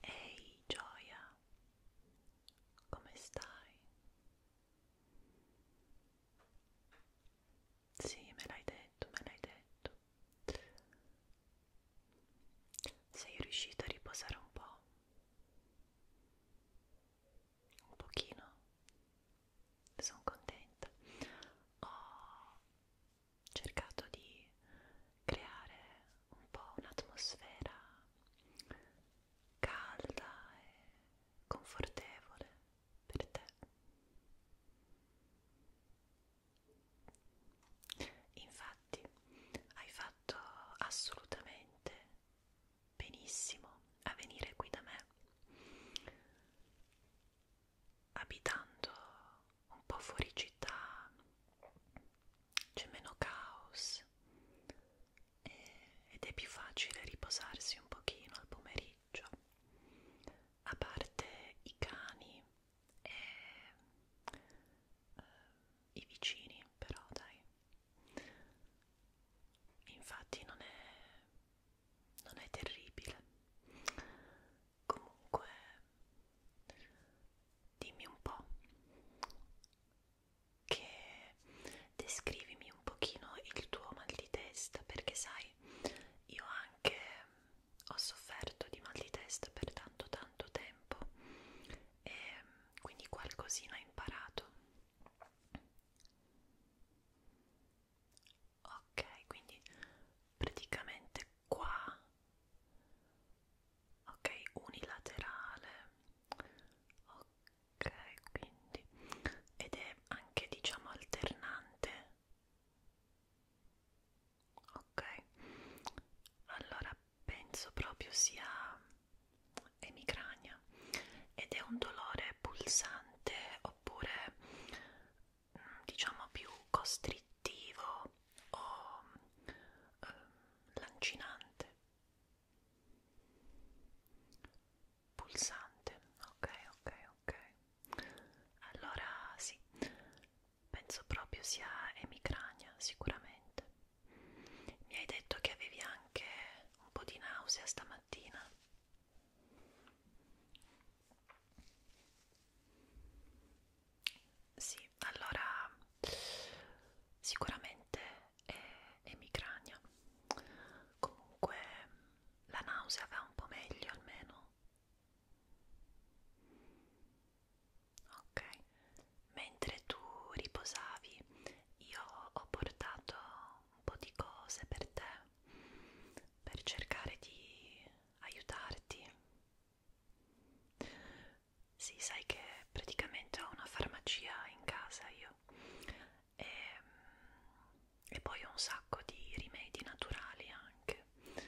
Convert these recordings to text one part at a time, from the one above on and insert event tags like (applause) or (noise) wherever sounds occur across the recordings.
Ehi gioia, come stai? Sì, me l'hai detto, me l'hai detto. Sei riuscito a riposare un po'? Un pochino? Sono contenta. Ho oh, cercato di creare un po' un'atmosfera calda e confortevole per te. Infatti hai fatto assolutamente benissimo a venire qui da me abitando un po' fuori città, c'è meno caos e, ed è più facile riposarsi un pochino al pomeriggio, a parte i cani e eh, i vicini, però dai. Infatti non è, non è terribile. Comunque dimmi un po' che descrivimi un pochino il tuo mal di testa perché sai io anche mm, ho sofferto di mal di testa per tanto tanto tempo e mm, quindi qualcosina ho imparato ok quindi praticamente qua ok unilaterale ok quindi ed è anche diciamo alternante ok allora penso proprio sia emicrania ed è un dolore pulsante oppure mm, diciamo più costrittivo o ehm, lancinante pulsante ok ok ok allora sì penso proprio sia emicrania sicuramente mi hai detto che avevi anche un po' di nausea stamattina sì, allora sicuramente è, è migrania. Comunque la nausea va un po' meglio almeno. Ok, mentre tu riposavi, io ho portato un po' di cose per te per cercare di aiutarti sì, sai che praticamente ho una farmacia in casa io e, ehm, e poi ho un sacco di rimedi naturali anche e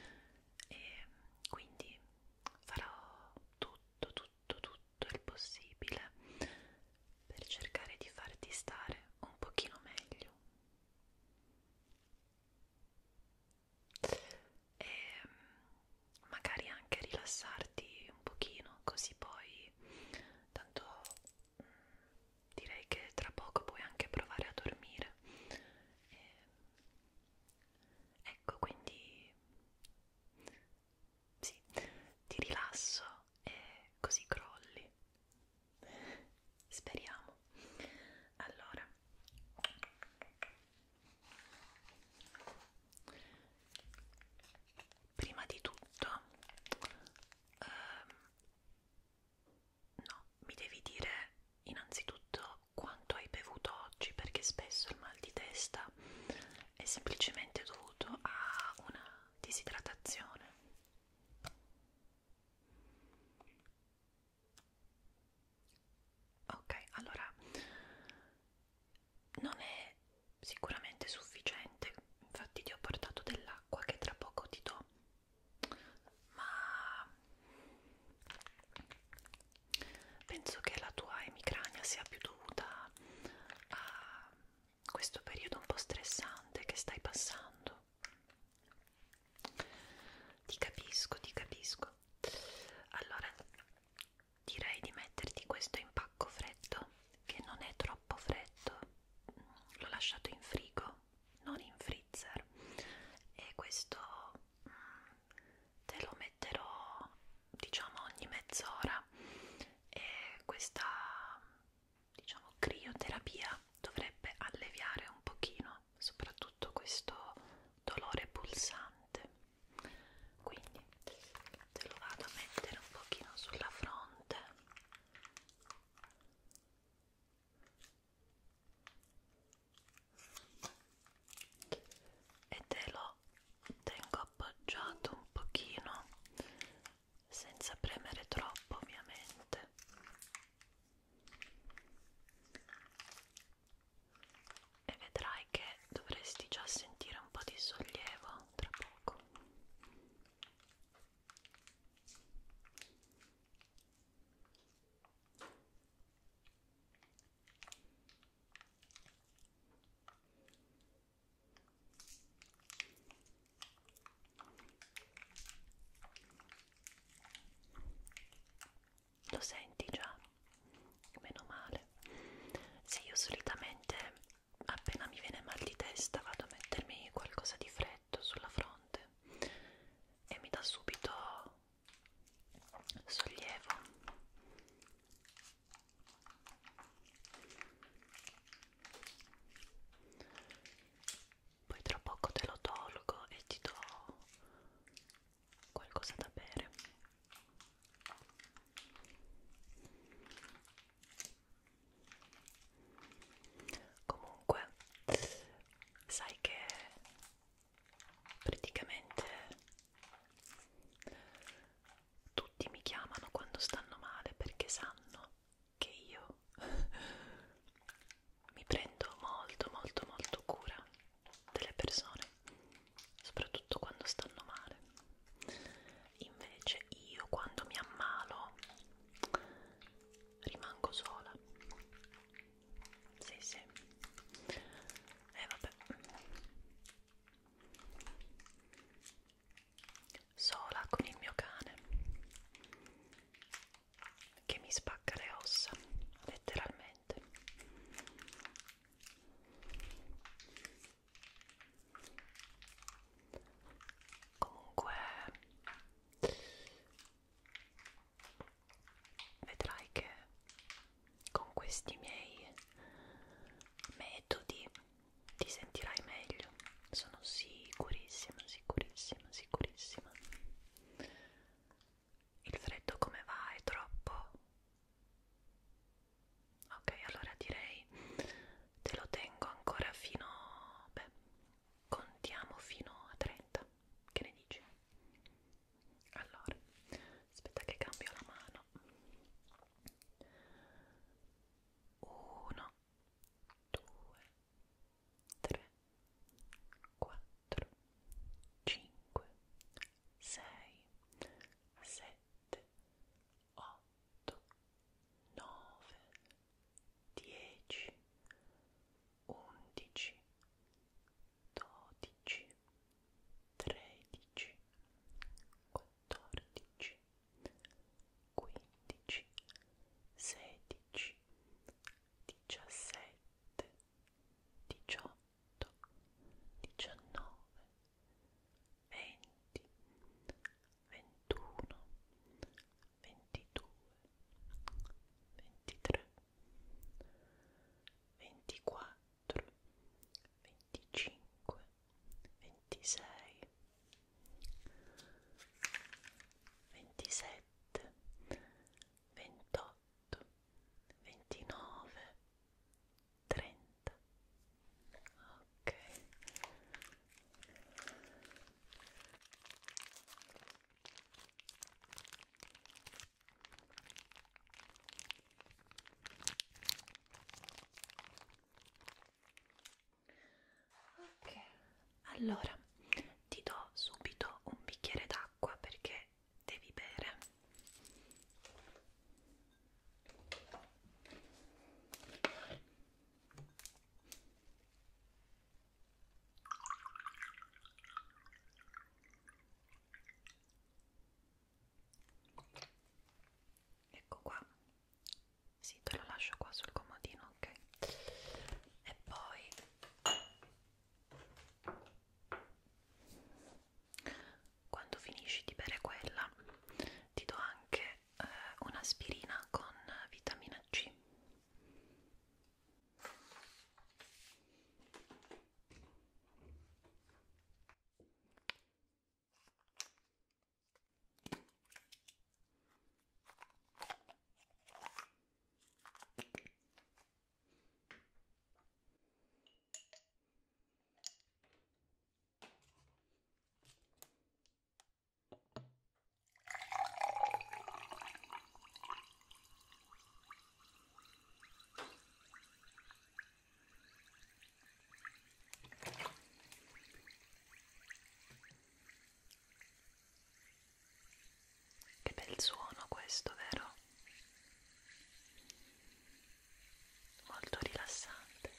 ehm, quindi farò tutto, tutto, tutto il possibile per cercare di farti stare un pochino meglio e mm, magari anche rilassarti un pochino così poi tanto mh, mm, direi che tra poco puoi anche provare a dormire e, ecco quindi sì ti rilasso e così crolli speriamo allora Prima di tutto, ehm, no, mi devi dire innanzitutto quanto hai bevuto oggi perché spesso il mal di testa è semplicemente dovuto a una disidratazione ok allora non è sicuramente sufficiente infatti ti ho portato dell'acqua che tra poco ti do ma penso che la tua emicrania sia più dovuta a questo periodo un po' stressante che stai passando ti capisco ti capisco buono allora direi di metterti questo impacco freddo che non è troppo freddo l'ho lasciato in frigo non in freezer e questo mm, te lo metterò diciamo ogni mezz'ora e questa diciamo crioterapia dovrebbe alleviare un pochino soprattutto questo dolore pulsante quindi te lo vado a mettere un pochino sulla fronte e te lo tengo appoggiato un pochino senza premere troppo ovviamente e vedrai che dovresti già sentire un po' di sollievo tra poco lo senti già meno male se io solitamente appena mi viene mal di testa vado a mettermi qualcosa di freddo sulla fronte e mi dà subito sollievo poi tra poco te lo tolgo e ti do qualcosa da bere comunque sai che praticamente tutti mi chiamano quando stanno male perché sanno che io (laughs) mi prendo molto molto molto cura delle persone, soprattutto quando stanno male. Invece io quando mi ammalo rimango sola. Sì, sì. E eh, vabbè. Sola con il mio cane che mi spacca le ossa, letteralmente comunque vedrai che con questi miei metodi ti sentirai meglio sono sicurissima sicurissima sicurissima il freddo come va? È troppo? Ok, allora direi te lo tengo ancora fino... beh, contiamo fino a 30. Che ne dici? Allora, aspetta che cambio la mano. 1, 2, 3, 4, 5, 6, 7, 8, 9, 10, 11, 12, 13, 14, 15, 16, 17, 18, diciannove, venti, ventuno, ventidue, ventitré, ventiquattro, venticinque, ventisei, ventisette, 28, 29, 30. Ok. Ok, allora ti do subito un bicchiere d'acqua perché devi bere ecco qua sì te lo lascio qua sul comodino ok e poi quando finisci di bere quella, ti do anche eh, un'aspirina con vitamina C. Che bel suono questo, vero? molto rilassante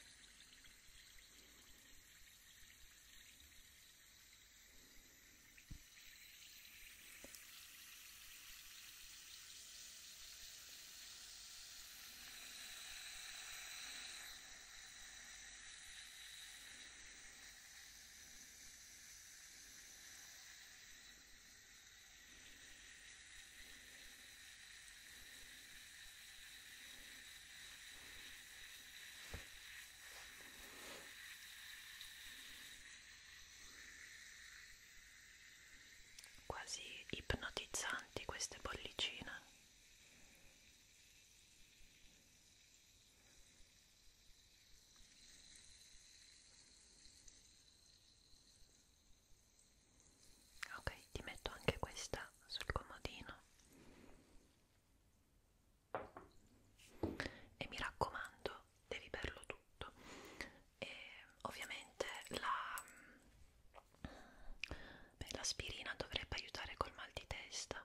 quasi ipnotizzanti queste bollicine ok ti metto anche questa sul comodino e mi raccomando devi berlo tutto e ovviamente la beh, l'aspirina dovrebbe aiutare col mal di testa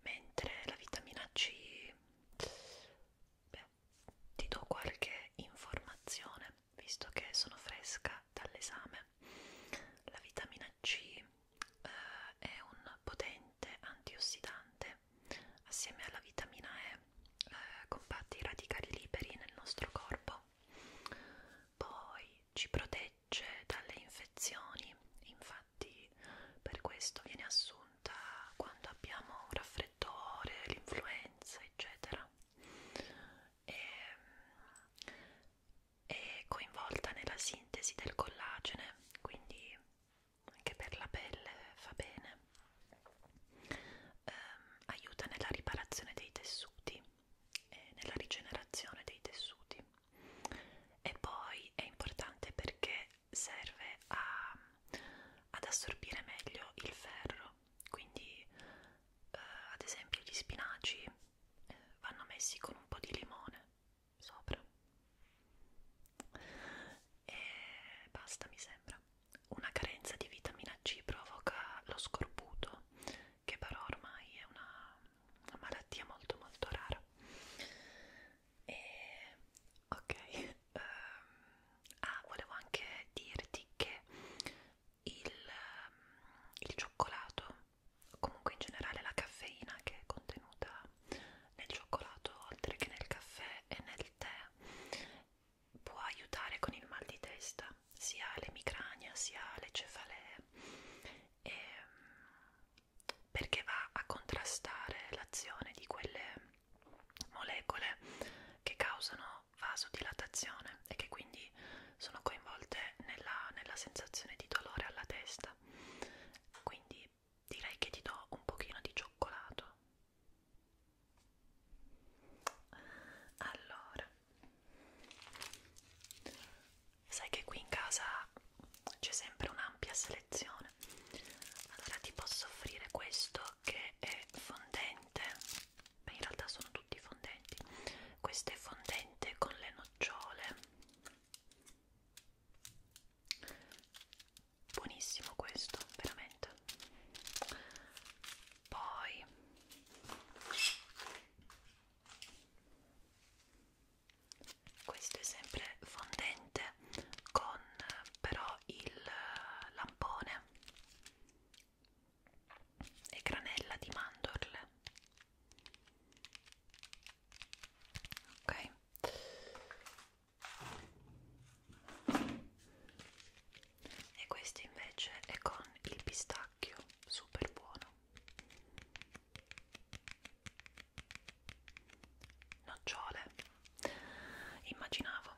mentre la vitamina C beh, ti do qualche informazione visto che sono fresca dall'esame. La vitamina C eh, è un potente antiossidante, assieme alla vitamina E eh, combatte i radicali liberi nel nostro corpo. Poi ci protegge dalle infezioni, infatti per questo viene assunta quando abbiamo un raffreddore raffreddore, l'influenza, eccetera. E, è coinvolta nella sintesi del collagene, quindi anche per la pelle fa bene. Eh, aiuta nella riparazione dei tessuti e nella rigenerazione dei tessuti. E poi è importante perché serve a, ad assorbire meglio il ferro quindi eh, ad esempio gli spinaci eh, vanno messi con un po' di limone sopra e basta mi sembra una carenza di vitamina C provoca lo scorbuto che però ormai è una, una malattia molto molto rara e ok Um, ah, volevo anche dirti che il, ehm, il cioccolato, comunque in generale la caffeina che è contenuta nel cioccolato oltre che nel caffè e nel tè, può aiutare con il mal di testa, sia le micrania sia le cefalee, e, ehm, perché va a contrastare l'azione di quelle molecole che causano vasodilatazione e che quindi sono coinvolte nella, nella sensazione di dolore alla testa. Quindi direi che ti do un pochino di cioccolato. Allora, sai che qui in casa c'è sempre un'ampia selezione. Allora ti posso offrire questo che è fondente beh in realtà sono tutti fondenti questo è fondente con le nocciole buonissimo questo veramente poi questo è sempre fondente con eh, però il eh, lampone e granella di mandorle ok e questo invece è con il pistacchio super buono nocciole immaginavo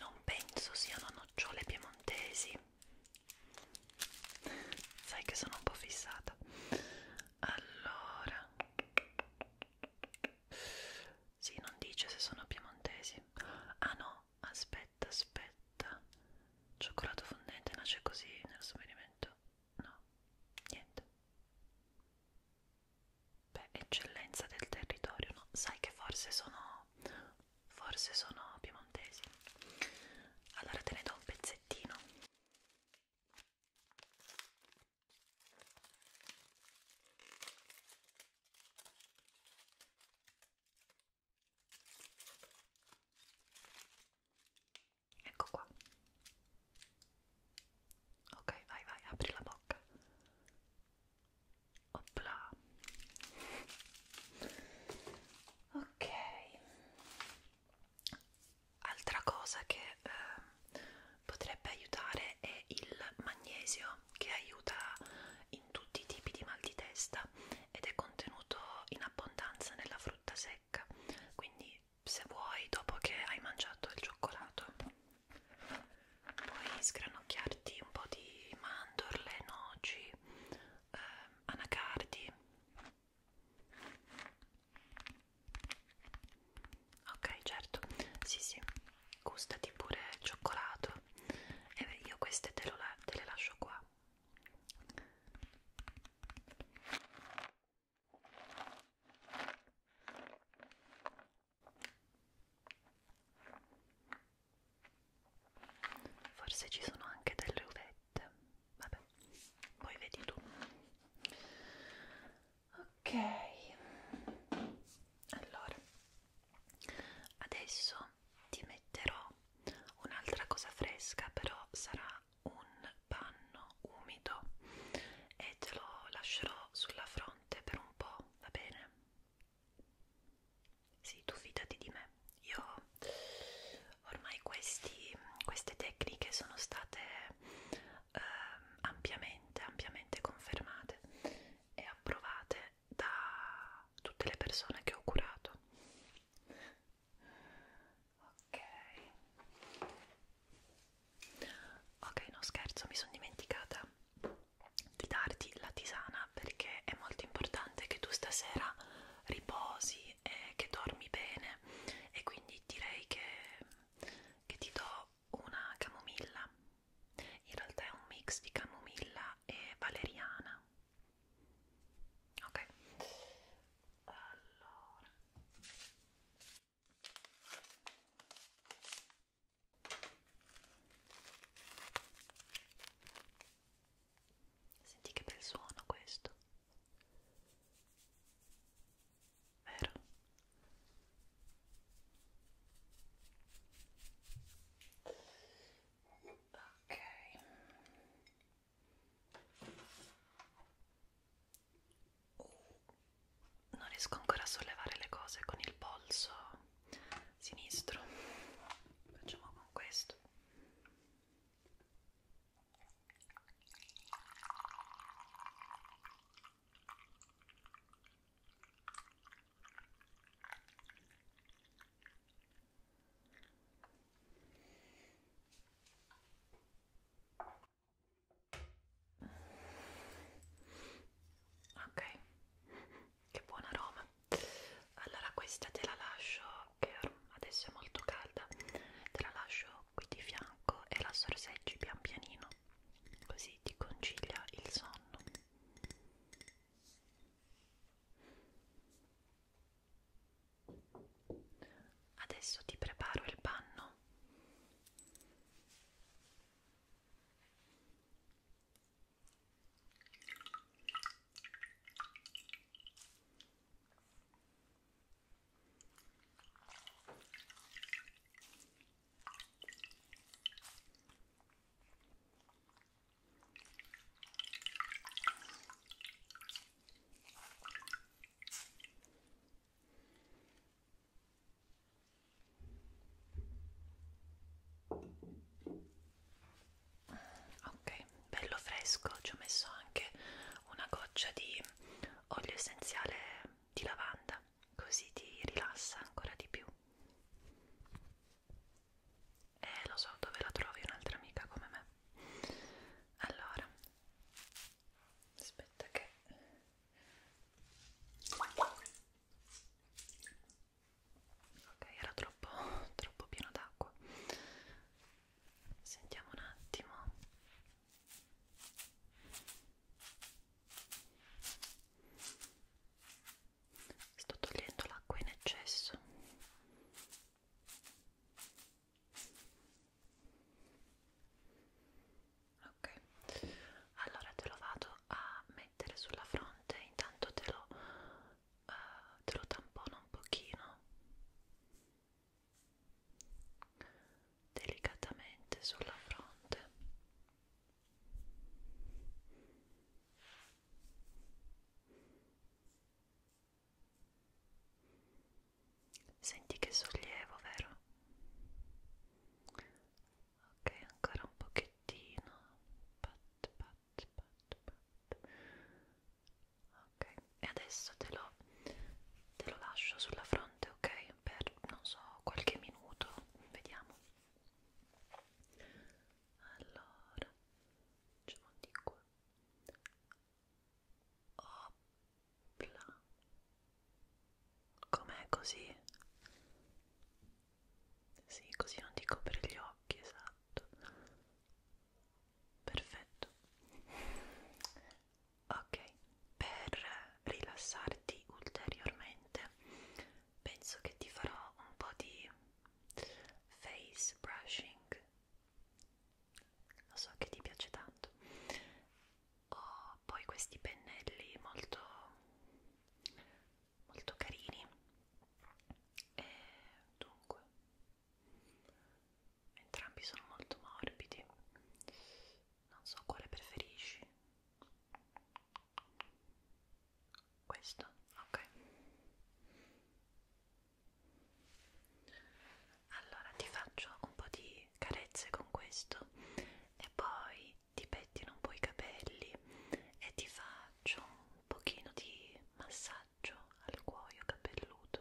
non penso siano nocciole piemontesi. Sai che sono un po' fissata. Allora, sì, non dice se sono piemontesi. Ah no, aspetta, aspetta. Cioccolato fondente nasce così nel sovvenimento. No, niente. Beh, eccellenza del territorio, no? Sai che forse sono... forse sono piemontesi. Allora te ne do un pezzettino. Ecco qua. Ok, vai, vai, apri la bocca. Opla. Ok. Altra cosa che eh, potrebbe aiutare è il magnesio che aiuta in tutti i tipi di mal di testa ed è contenuto in abbondanza nella frutta secca. Quindi se vuoi dopo che hai mangiato il cioccolato puoi sgranocchiarti un po' di mandorle, noci, eh, anacardi ok certo, sì sì, gustati pure il cioccolato e eh, io queste te, lo la te le lascio qua Forse ci sono anche delle uvette, vabbè, poi vedi tu. Ok, allora adesso ti metterò un'altra cosa fresca, però sarà un panno umido e te lo lascerò sulla fronte per un po', va bene? Sì, tu fidati di me. Io ormai questi, queste tecniche sono state eh, ampiamente, ampiamente confermate e approvate da tutte le persone che ho curato ok ok no scherzo mi sono dimenticata di darti la tisana perché è molto importante che tu stasera riposi e che dormi bene e quindi direi che, che ti do una camomilla in realtà è un mix di camomilla e valeriana ok allora senti che bel suono questo vero ok Oh, non riesco ancora a sollevare le cose con il polso sinistro. Facciamo con questo ok che buon aroma allora questa te la lascio che adesso è molto calda te la lascio qui di fianco e la sorseggi pian pianino così ti concilia il sonno Adesso ti preparo il panno. Ok, bello fresco, ci ho messo anche una goccia di olio essenziale di lavanda, così ti rilassa ancora di più. E eh, lo so dove la trovi un'altra amica come me. Allora, aspetta che ok era troppo troppo pieno d'acqua sentiamo un attimo sto togliendo l'acqua in eccesso ok allora te lo vado a mettere sulla fronte intanto te lo, uh, te lo tampono un pochino delicatamente sulla fronte Senti che sollievo, vero? Ok, ancora un pochettino. Pat, pat, pat, pat. Ok, e adesso te lo, te lo lascio sulla fronte, ok? Per non so, qualche minuto, vediamo. Allora, facciamo di qua. Opla. Com'è così? Sì, così non ti copre gli occhi, esatto. Perfetto. Ok, per rilassarti ulteriormente penso che ti farò un po' di face brushing lo so che ti piace tanto ho poi questi pennelli molto molto carini e dunque entrambi sono molto morbidi non so quale preferisci questo ok allora ti faccio un po' di carezze con questo e poi ti pettino un po' i capelli e ti faccio un pochino di massaggio al cuoio capelluto.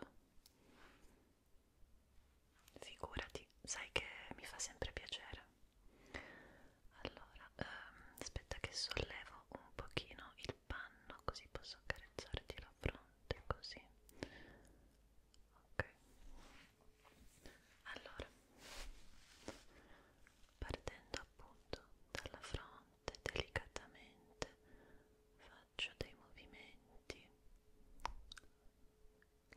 Figurati, sai che mi fa sempre piacere. Allora, ehm, aspetta che sollevo un pochino il panno così posso accarezzarti la fronte, così ok allora partendo appunto dalla fronte delicatamente faccio dei movimenti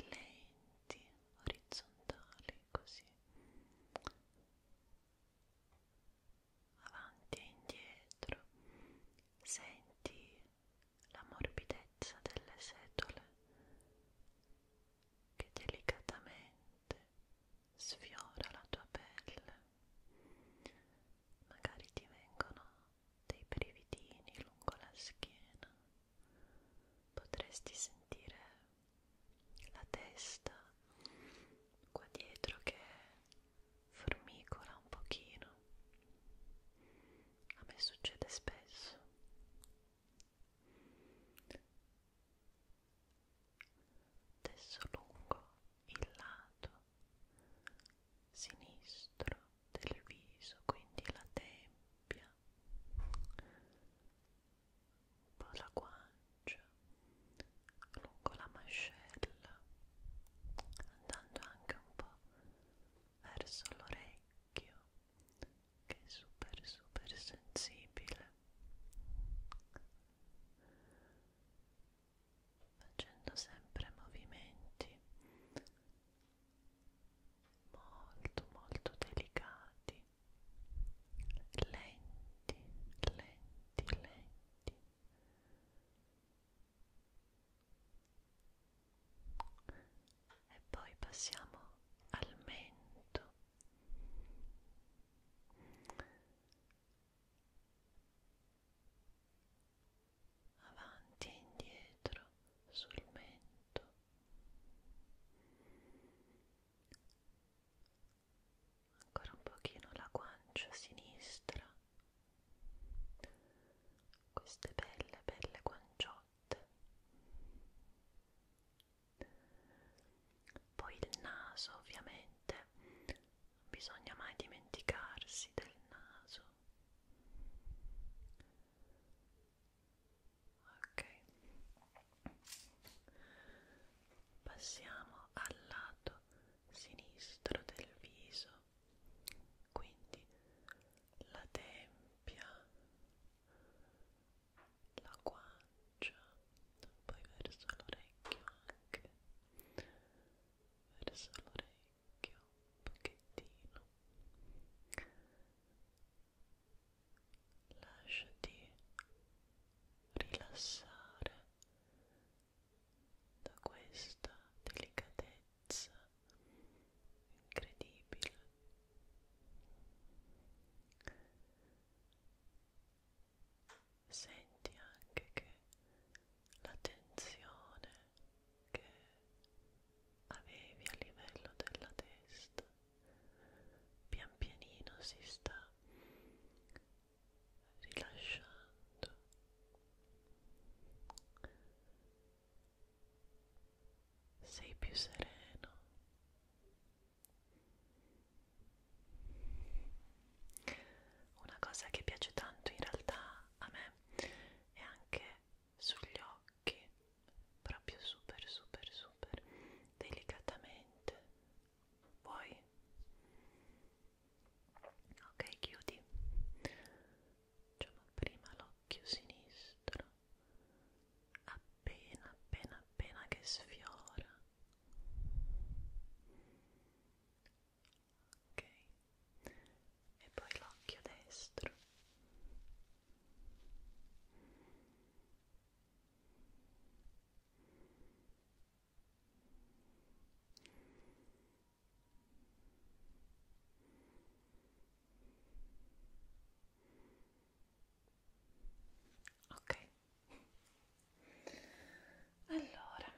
lenti orizzontali così avanti e indietro senti la morbidezza delle setole che delicatamente sfiora la tua pelle. Magari ti vengono dei brividini lungo la schiena, potresti sentire la testa qua dietro che formicola un pochino a me succede spesso adesso lungo il lato sinistro del viso quindi la tempia un po' la guancia lungo la mascella andando anche un po' verso l'orecchio che è super super sensibile facendo sempre movimenti molto molto delicati lenti lenti lenti e poi passiamo al mento avanti e indietro sul mento ancora un pochino la guancia sinistra queste belle belle guanciotte poi il naso ovviamente non bisogna mai dimenticarsi del naso ok passiamo al lato sinistro del viso quindi la tempia, la guancia, poi verso l'orecchio anche, verso l'orecchio un pochettino. Lasciati rilassare da questa delicatezza bellezza incredibile senti anche che la tensione che avevi a livello della testa pian pianino si sta rilasciando sei più sereno una cosa che piace tanto in realtà a me è anche sugli occhi proprio super super super delicatamente vuoi ok chiudi Facciamo prima l'occhio sinistro, appena appena appena che sfiora. Ok, e poi l'occhio destro. Ok, Ok. Allora.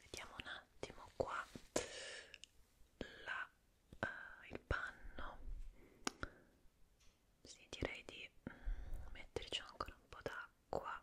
Vediamo un attimo qua la, uh, il panno. Sì, direi di mm, metterci ancora un po' d'acqua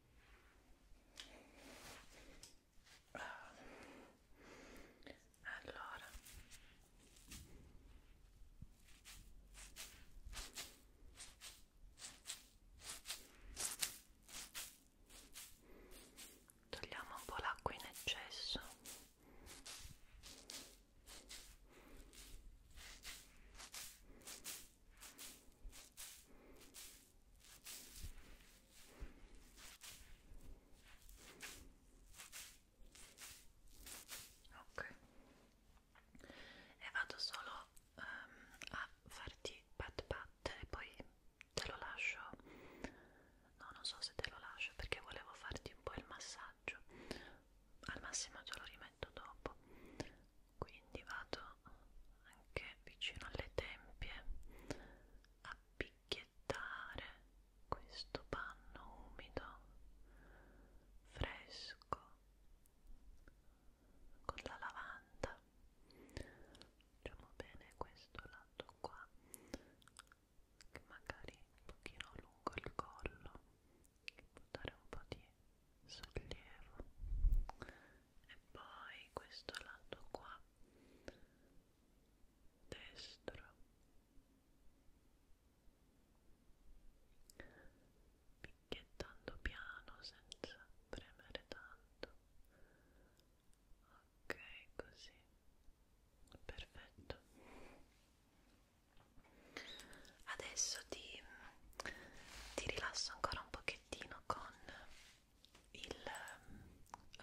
allora togliamo un po' l'acqua in eccesso ok e vado solo um, a farti pat pat e poi te lo lascio no non so se te lo lascio perché volevo farti un po' il massaggio al massimo te lo rimetto dopo quindi vado anche vicino alle tempie a picchiettare questo panno umido fresco con la lavanda facciamo bene questo lato qua che magari un pochino lungo il collo che può dare un po' di sollievo e poi questo lato qua destro picchiettando piano senza premere tanto ok così perfetto adesso ti, ti rilasso ancora un pochino pacchettino con il um,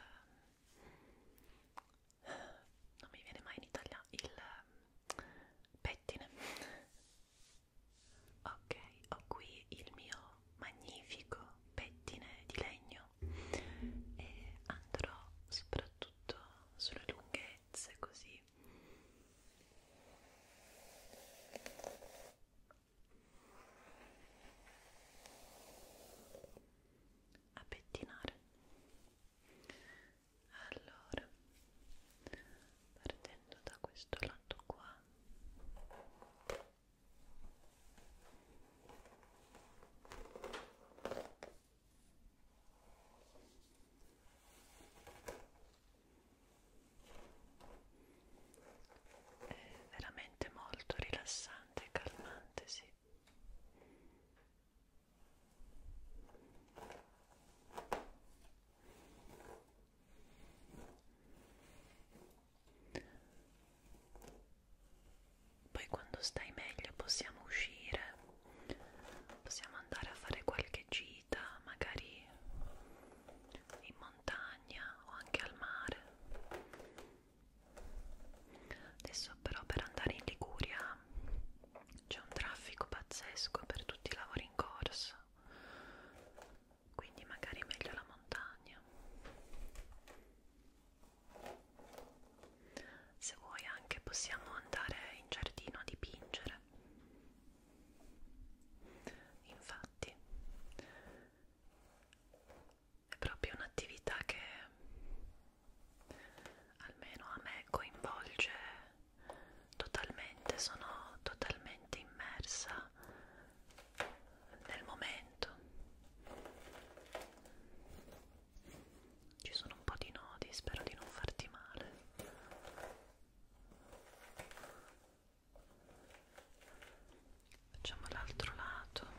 non mi viene mai in Italia il um, pettine ok ho qui il mio magnifico pettine di legno e andrò soprattutto sulle lunghezze così a pettinare allora partendo da questo lato qua è veramente molto rilassante e calmante, sì. Poi quando stai meglio possiamo uscire, possiamo andare a fare qualche giro vita magari in montagna o anche al mare adesso però per andare in Liguria c'è un traffico pazzesco per tutti i lavori in corso quindi magari è meglio la montagna se vuoi anche possiamo andare in giardino a dipingere Infatti è proprio un'attività che almeno a me coinvolge totalmente, sono totalmente immersa nel momento. Ci sono un po' di nodi, spero di non farti male facciamo l'altro lato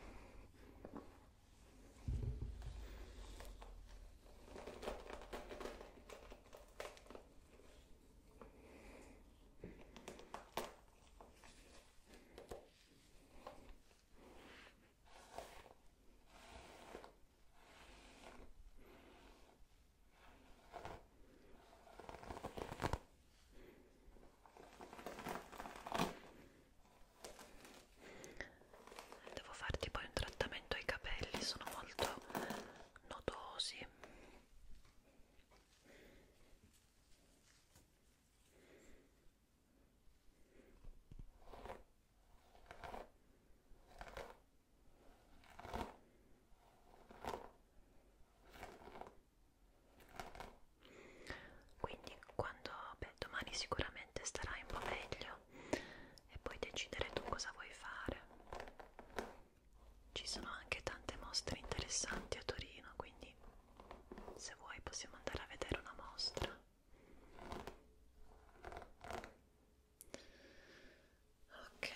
Devo farti poi un trattamento ai capelli, sono molto nodosi quindi quando beh, domani sicuramente starai un po' meglio e puoi decidere tu cosa vuoi fare ci sono anche tante mostre interessanti a Torino quindi se vuoi possiamo andare a vedere una mostra ok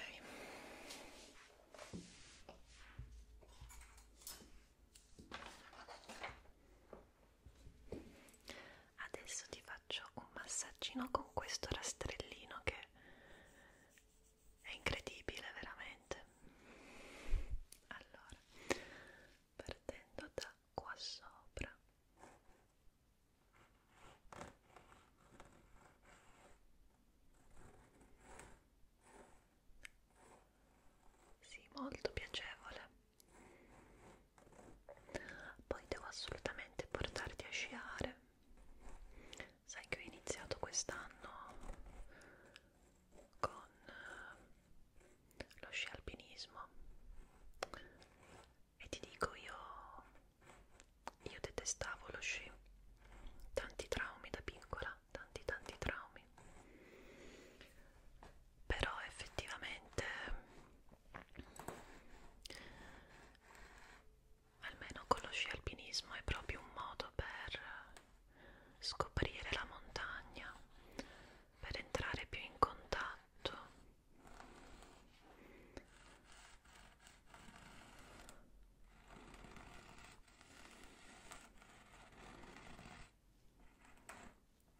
adesso ti faccio un massaggino con questo rastrellino che è incredibile veramente allora partendo da qua sopra sì, molto piacevole poi devo assolutamente portarti a sciare sai che ho iniziato quest'anno con eh, lo sci alpinismo e ti dico io io detestavo lo sci, tanti traumi da piccola, tanti tanti traumi. Però effettivamente almeno con lo sci alpinismo è proprio un modo per scoprire la montagna, per entrare più in contatto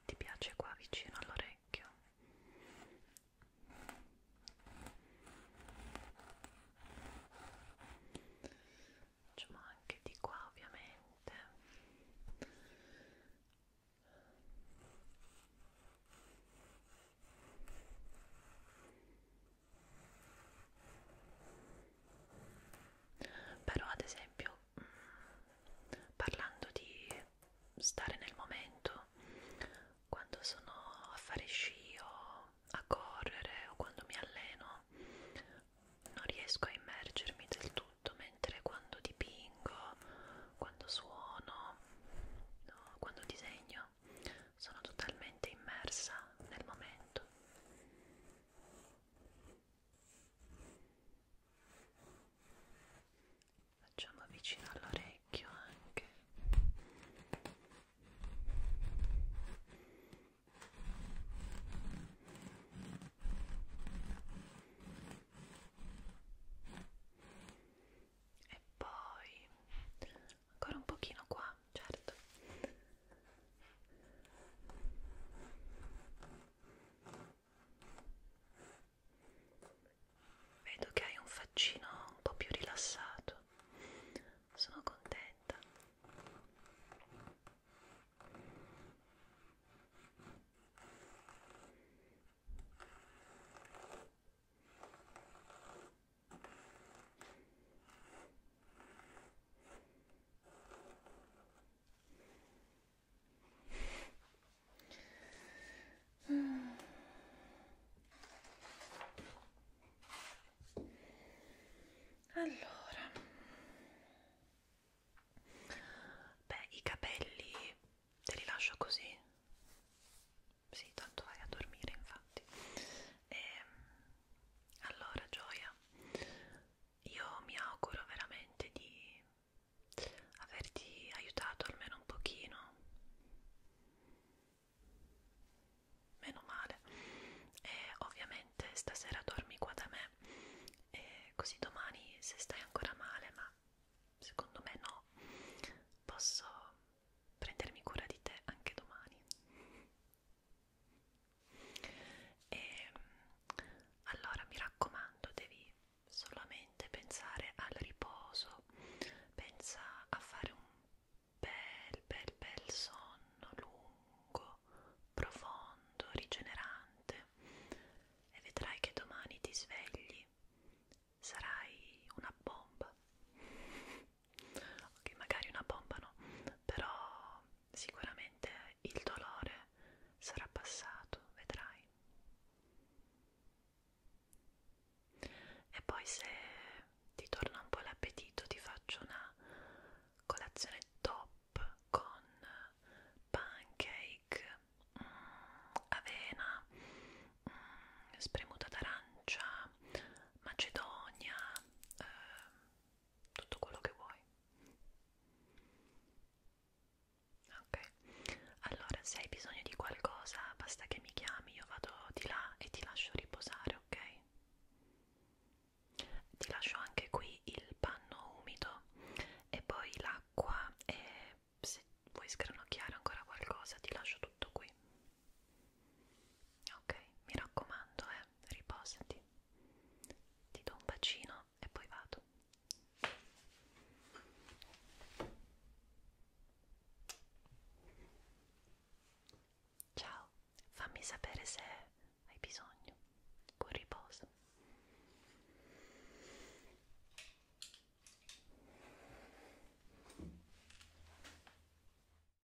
ti piace qua vicino all'orecchio? Facciamo anche di qua ovviamente. Ecco però ad esempio mm, parlando di stare nel momento quando sono a fare sci o a correre o quando mi alleno non riesco a immergermi del tutto mentre quando dipingo quando suono no, quando disegno vita, sono totalmente immersa nel momento. Facciamo vicino all'orecchio anche. E poi ancora un pochino qua, certo vedo che hai un faccino un po' più rilassato sono contenta allora, beh, i capelli te li lascio così? Sì, tanto vai a dormire, infatti. E, ehm, allora, Gioia, io mi auguro veramente di averti aiutato almeno un pochino. Meno male. E ovviamente stasera dormi qua da me. E così domani, se stai ancora male, ma secondo me no, posso prendermi cura di te anche domani. E mm, allora mi raccomando, devi solamente pensare al riposo, pensa a fare un bel, bel, bel sonno lungo, profondo, rigenerante e vedrai che domani ti svegli, sarai una bomba ok magari una bomba no però sicuramente il dolore sarà passato vedrai e poi se ti torna un po' l'appetito ti faccio una colazione top con pancake mm, avena mm, spremuta d'arancia macedonia eh, tutto quello che vuoi ok allora se hai bisogno di qualcosa basta che mi chiami io vado di là e ti lascio riposare ok ti lascio anche qui il panno umido e poi l'acqua e se vuoi sgranocchiare ancora qualcosa ti lascio tutto qui Ok, mi raccomando, eh, riposati. Ti do un bacino e poi vado. Ciao, fammi sapere se hai bisogno. Buon riposo.